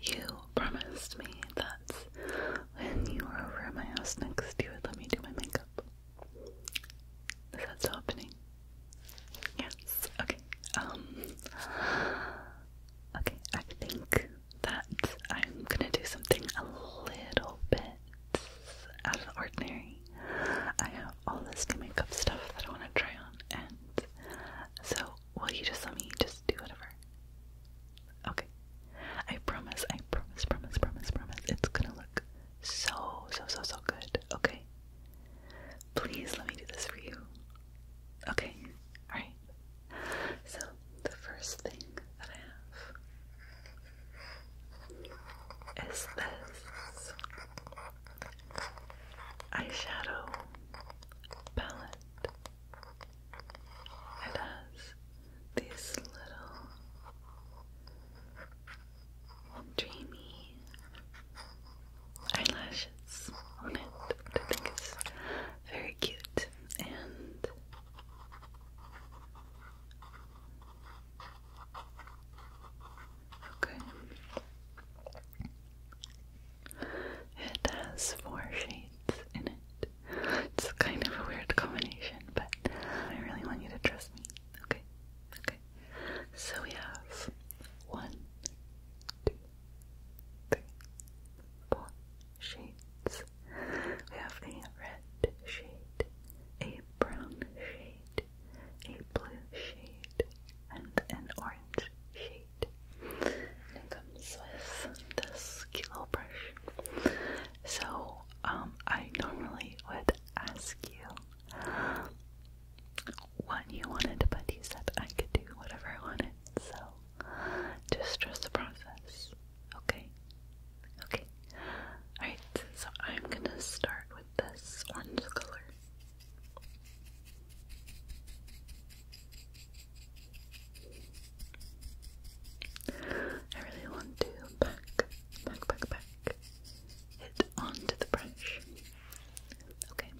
you promised me that when you were over at my house next, you would let me do my makeup. Is that happening? Yes. Okay. Um. Okay. I think that I'm gonna do something a little bit out of the ordinary. I have all this new makeup stuff that I want to try on, and so will you just let me just do whatever? Okay. I promise, I promise, promise, promise, promise. It's gonna look so, so, so, so good. Okay? Please let me do this for you. Okay? Alright. So, the first thing that I have is this eyeshadow palette. It has these little dreamy eyelashes on it, I think is very cute and okay. It has four shades in it. It's kind of a weird combination, but I really want you to trust me. Okay, okay. So we have one, two, three, four shades. We have a red shade, a brown shade, a blue shade, and an orange shade it comes with this kilo brush. So, um, I normally would ask you what you wanted, but you said I could do whatever I wanted. So, just trust the process. Okay? Okay. Alright, so I'm gonna start with this orange color. I really want to back, back, back, back it onto the brush. Okay.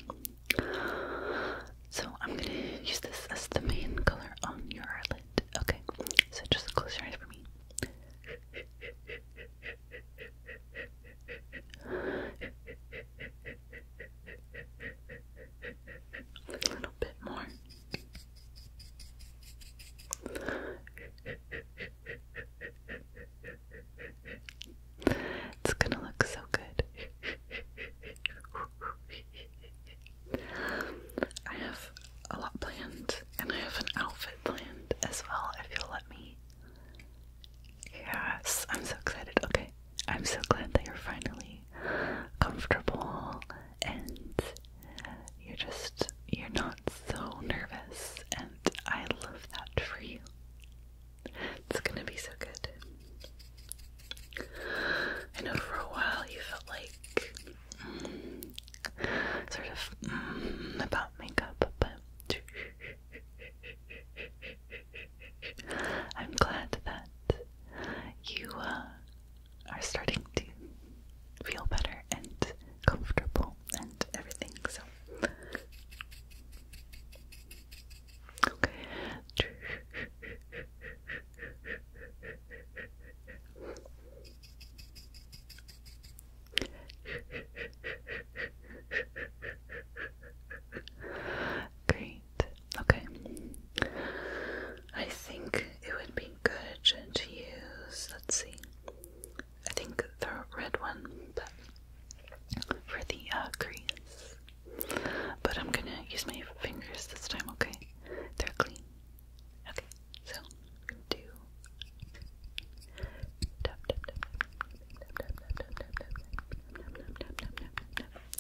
So I'm gonna use this as the main color on your eyelid. Okay. So just close your eyes for me. A little bit more. It's gonna look so good. I have a lot planned, and I have an outfit planned as well, if you'll let me. Yes, I'm so excited. Okay, I'm so glad that you're finally comfortable and you're just, you're not so nervous, and I love that for you. It's gonna be so good. I know for a while you felt like mm, sort of mm, about makeup, but I'm glad that you uh, are starting to feel better and comfortable and everything. So, okay. Okay. I think it would be good to use, let's see, I think the red one but for the uh, crease. But I'm gonna use my fingers this time, okay? They're clean. Okay, so do tap tap tap tap tap tap tap tap tap tap tap tap tap tap tap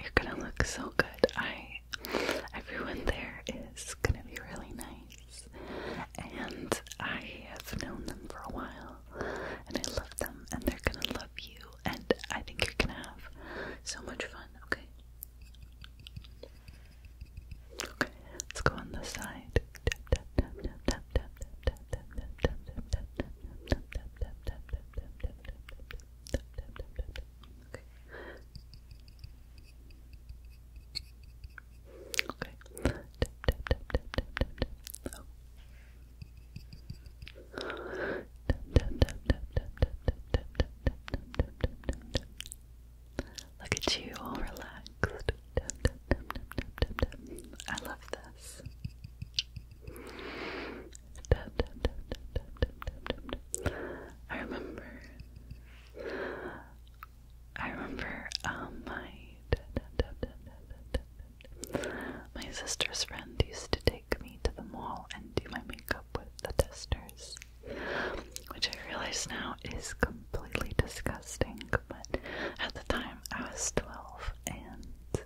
You're gonna look so good. I everyone there is gonna be really nice. And I have known them for a while and I love them and they're gonna love you and I think you're gonna have so much fun, okay? Okay, let's go on this side. Tap, tap, tap, tap, Okay. Okay. Tap, tap, tap, tap, tap, tap, tap. Oh. tap, tap, tap, tap, tap, tap, tap, tap, tap, tap, tap, tap. Look at you, all relaxed. Tap, tap, tap, tap, tap, tap, tap. I love this. I remember. I remember um, my my sister's friend used to take me to the mall and do my makeup with the testers, which I realize now is completely disgusting. But at the time, I was twelve, and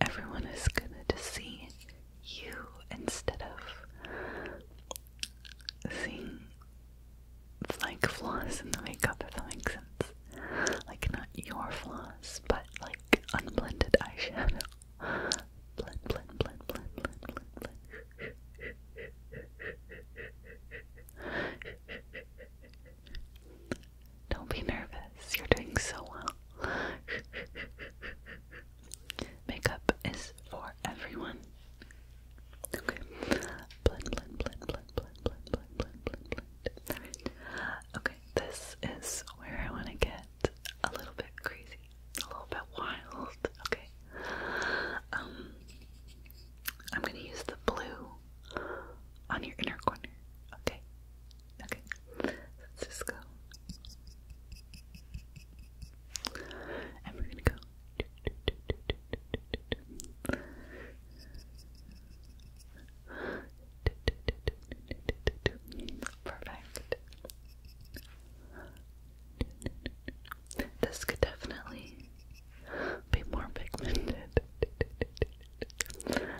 everyone is gonna see you instead of seeing like flaws in the makeup if that makes sense. Like not your flaws, but like unblended eyeshadow. Blend, blend, blend, blend, blend, blend, blend. Don't be nervous. You're doing so well. Makeup is for everyone. Okay. Blend, blend, blend, blend, blend, blend, blend, blend, blend, blend. Alright. Okay, this is where I want to get a little bit crazy, a little bit wild. Okay. Um, I'm gonna use the blue on your inner corner. Okay. Okay, let's just go. And we're gonna go. Perfect. This could definitely be more pigmented.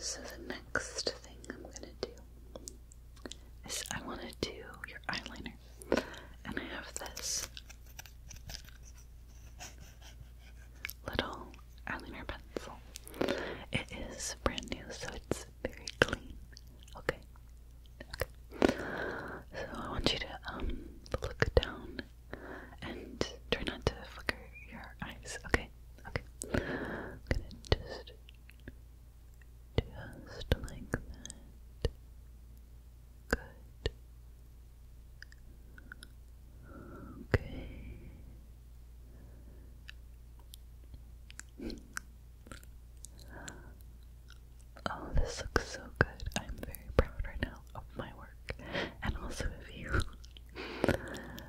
So the next thing I'm gonna do is I wanna do your eyeliner. And I have this little eyeliner pencil. It is brand new, so it's very clean. Okay. Okay. So I want you to um look down and try not to flicker your eyes. Okay, okay. gonna just, just like that. Good. Okay. Oh, this looks so good. I'm very proud right now of my work. And also of you.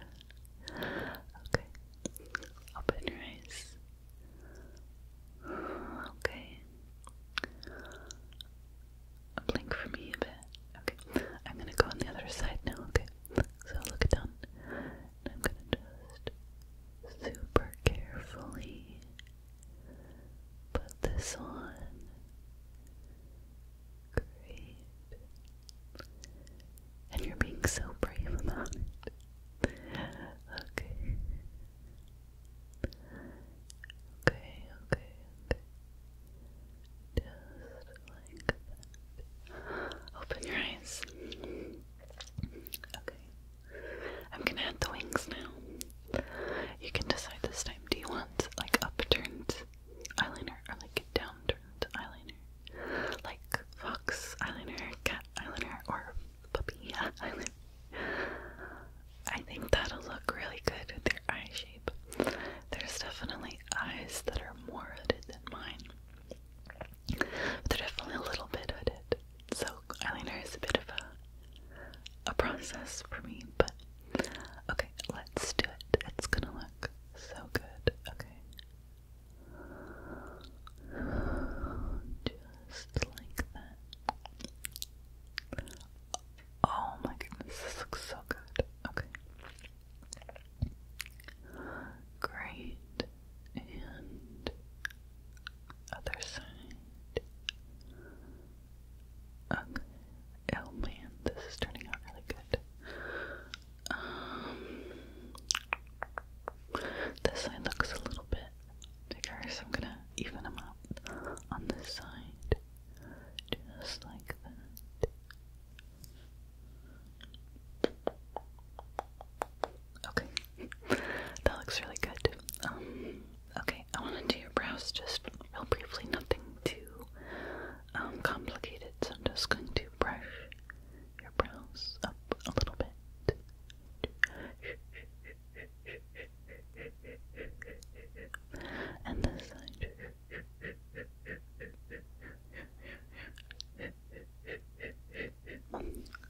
Okay. Open your eyes. Okay. Blink for me a bit. Okay. I'm gonna go on the other side now, okay? So look down. I'm gonna just super carefully put this on. Great. And you're being so brave about it. Okay. Okay, okay, Just like Open your eyes. Okay. I'm gonna add the wings now. You can decide this time. Do you want like upturned eyeliner or like downturned eyeliner, like fox eyeliner, cat eyeliner, or puppy eyeliner. I think that'll look really good with your eye shape. There's definitely eyes that are more hooded than mine. But they're definitely a little bit hooded. So eyeliner is a bit of a a process for me, but Okay, let's do it. It's gonna look so good. Okay. Just like that. Oh my goodness, this looks so good. Okay. Great. And other side. Oh man, this is turning out really good. Um, this side looks a little bit bigger, so I'm gonna even them up on this side, just like that. Okay, that looks really good. Um, okay, I want to do your brows just real briefly, nothing too um, complicated, so I'm just going to brush your brows up a little bit. And this side.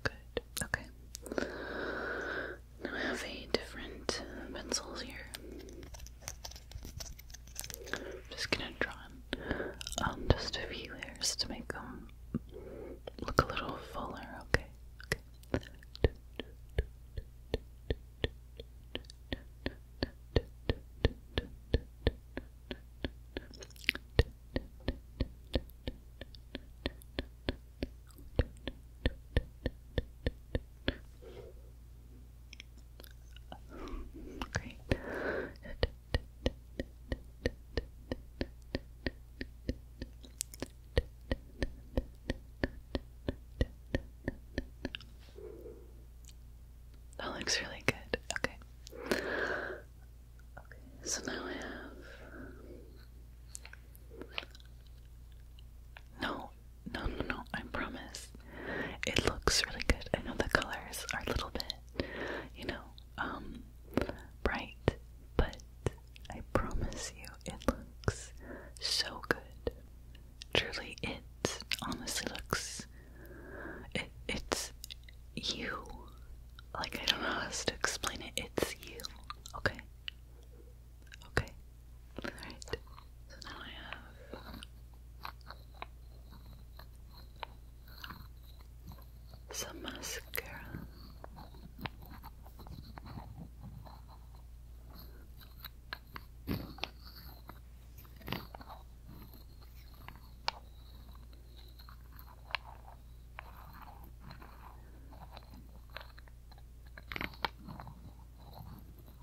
Good. Okay. Now I have a different uh, pencils here. I'm just gonna draw in um, just a few layers to make them look a little fuller, Okay. Okay. Great. That looks really good. Okay. Okay, so now I have. No, no, no, no, I promise. It looks really good. I know the colors are a little bit, you know, um, bright, but I promise you it looks so good. Truly, it honestly looks. It, it's you. Like, I don't know how to explain it. It's you, okay? Okay. Alright. So now I have some mascara.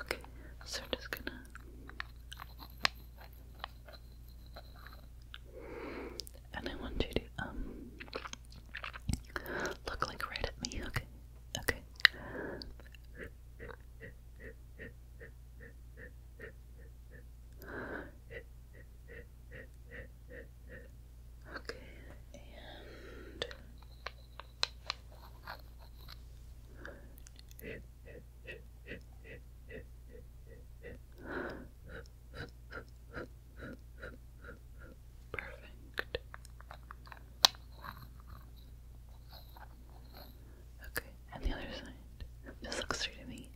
Okay, so we're just gonna and I want you to um look like right at me, okay? Okay. Okay, and Perfect. Okay, and the other side. This looks through to me.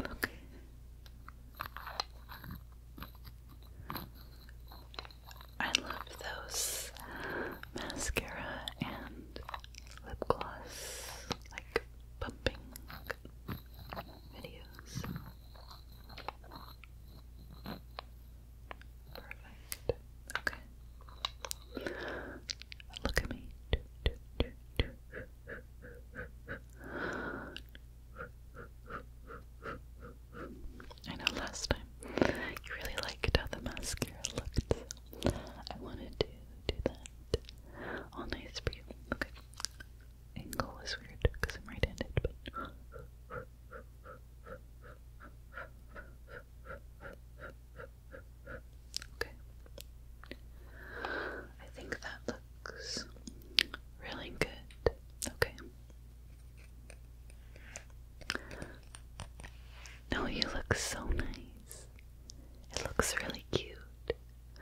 Look. I love those mascara and lip gloss like pumping videos. Perfect. Okay. Look at me. I know last time you really liked how the mascara looked, I wanted to do that all nice for Okay. Angle was weird because I'm right handed, Okay. I think that looks really good. Okay. No, you look so nice. It looks really cute.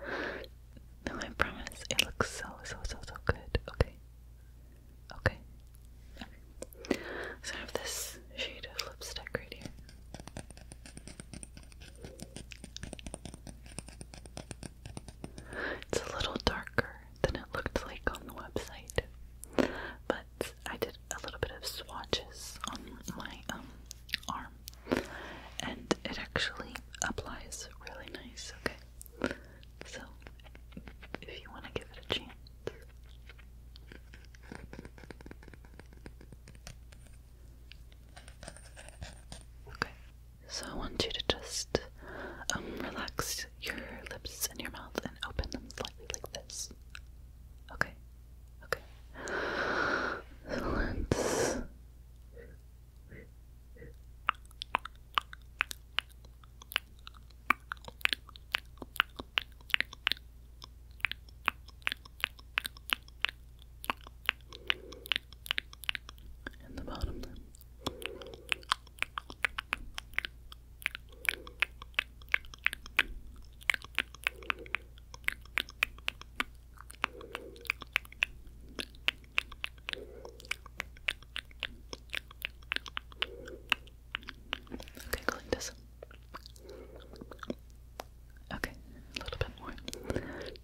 No, I promise. It looks so, so, so, so good. Okay. Okay. okay. So have this this shade of lipstick right here. It's a little darker than it looked like on the website, but I did a little bit of swatches on my um, arm, and it actually applies really nice, okay? So, if you want to give it a chance. Okay, so I want you to just um, relax your lips and your mouth and open them slightly like this. Okay, okay. let's and the bottom Okay, clean Okay, a little bit more. Good.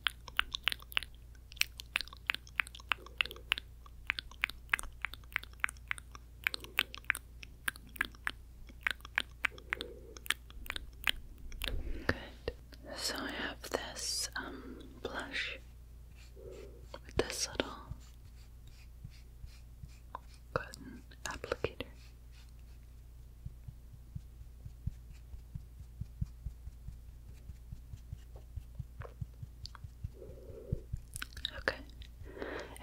So I have this um, blush with this little cotton applicator. Okay,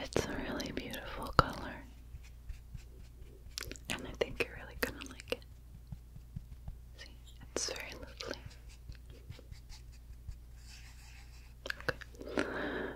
it's a really beautiful color, and I think you're really gonna like it. See, it's very lovely. Okay.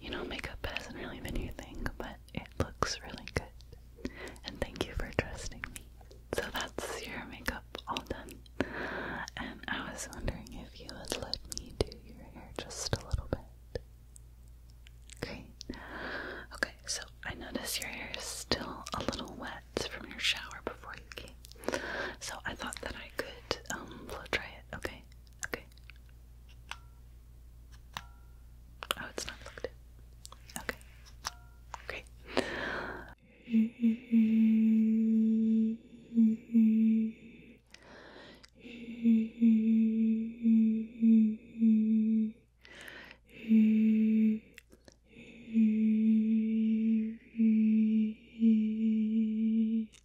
you know, makeup hasn't really been your thing, but it looks really good. And thank you for trusting me. So that's your makeup all done. And I was wondering if you would let me do your hair just a little bit. Great. Okay, so I notice your hair is still a little wet from your shower before you came. So I thought that I could blow um, dry it. Okay. Okay. Oh, it's not plugged in. Okay. Great.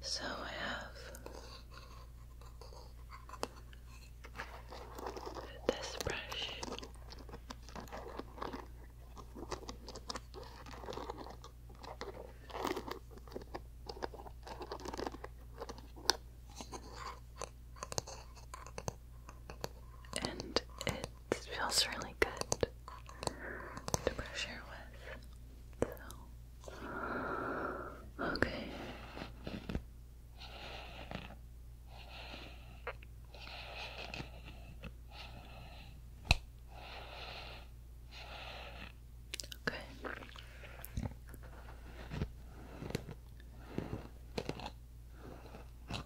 So I have this brush and it feels really good to brush your with. okay. Okay. Okay.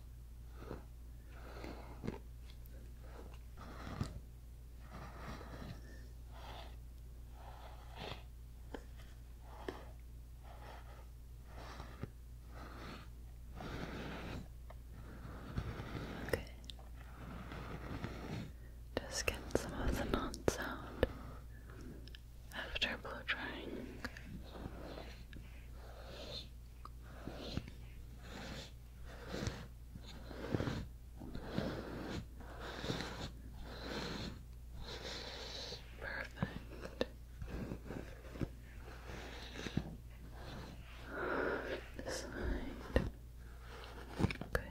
Just get some of the non sound after blow drying. Perfect. This side. Okay.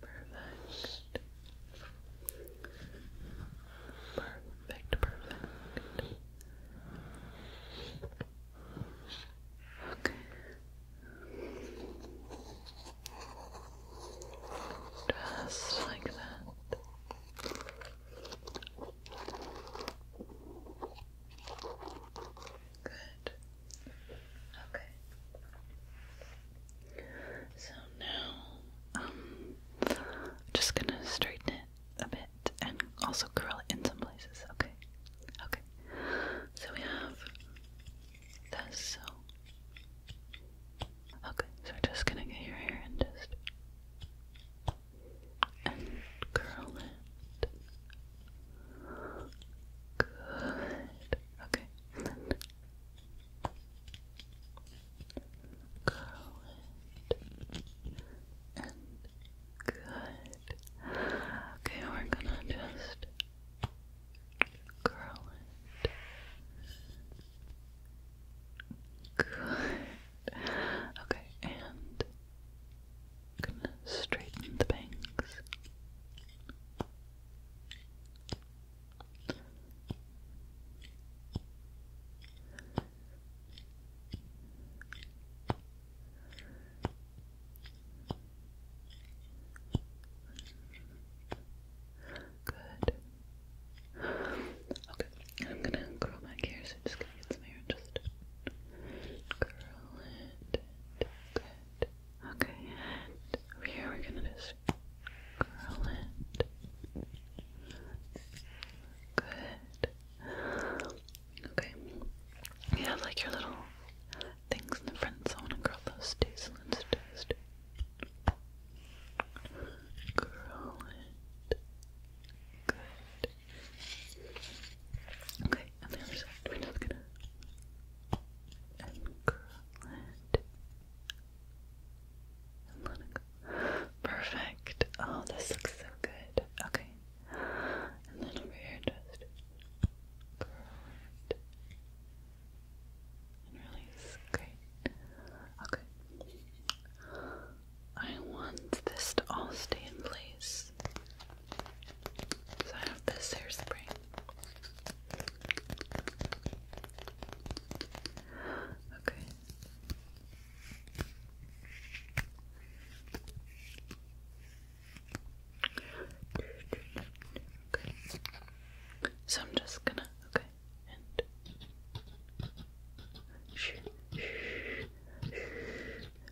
Perfect. Perfect, perfect. Okay. Just like that. Good. Okay. So now, um, just gonna straighten it a bit and also curl it in some places. Okay. Okay. So we have this. So okay. So we're just gonna get your hair and just curl it. Good. Okay. And And good. Okay, we're gonna just curl it. Good. Okay, and gonna straighten the bangs. Good. Okay, I'm gonna curl my hair, so just get some hair just curl it. okay. Okay, and here we're gonna just curl it. Good. Okay. You like your little things in the front, I wanna curl those too, so let curl it. Good. Okay, on the other side, we're just gonna curl it and let go. Perfect. Oh, this looks so good. Okay, and then over here, just curl it and release. Great. Okay. I want this to all stay in place. So I have this hairspray. Okay. Okay. So I'm just gonna okay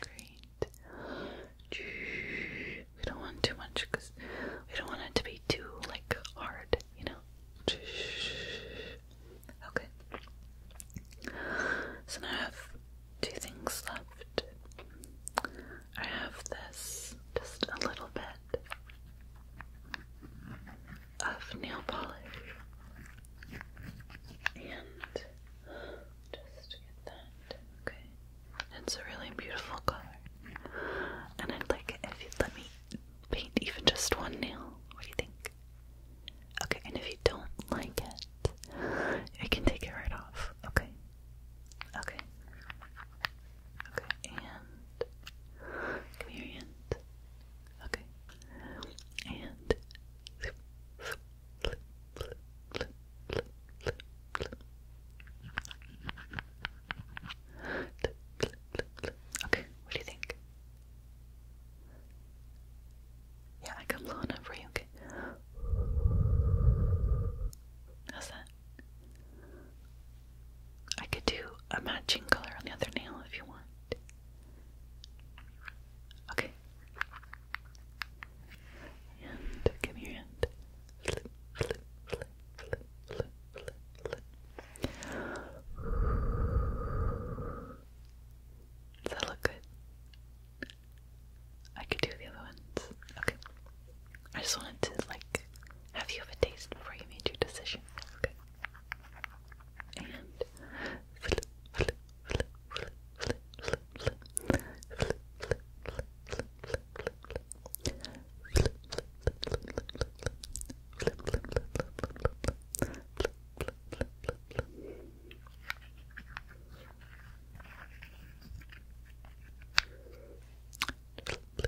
Great. We don't want too much because we don't want it to be too like hard, you know. Okay. So now I have two things left. I have this just a little bit of nail polish and just get that, okay? It's a really beautiful color, and I'd like if you let me paint even just one nail. What do you think? Okay, and if you don't like it, I can take it right off, okay? Okay. Okay, and here and okay, and Okay, what do you think? Yeah, I come low enough for you. Okay. How's that? I could do a matching color on the other nail if you want. Okay. And give me your hand. Does that look good? I could do the other ones. Okay. I just wanted to like have you have a taste before you made your decision.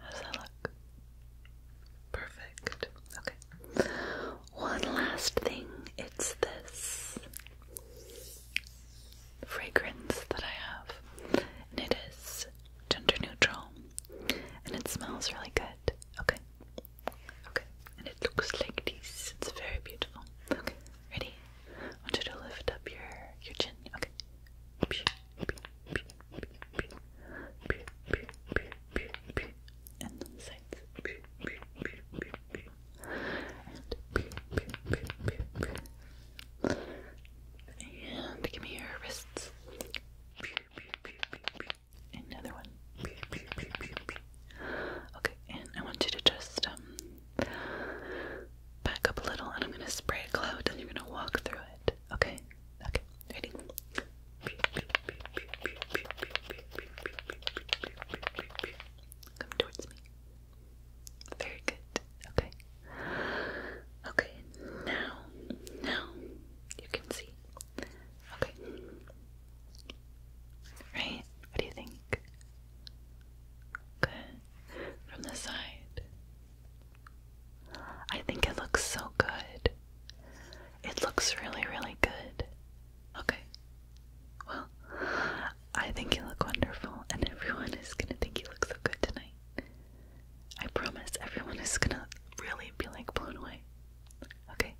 How that look? Perfect. Okay. One last thing. It's this fragrance that I have, and it is gender neutral, and it smells really good. Okay. Okay. And it looks like this. It's very beautiful. Okay. Ready? I want you to lift up your your chin. Okay and the sides and give me your wrists another one okay, and I want you to just um, back up a little and I'm gonna spray a cloud and you're gonna walk through it, okay? Okay, ready? Come towards me. Very good. Okay. Okay, now, now you can see. Okay. Right? What do you think? Good. From the side. I think it looks so good. It looks really, really good. Okay. Well, I think you look wonderful, and everyone is gonna think you look so good tonight. I promise everyone is gonna really be like blown away. Okay.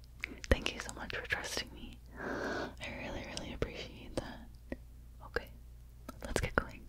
Thank you so much for trusting me. I really, really appreciate that. Okay, let's get going.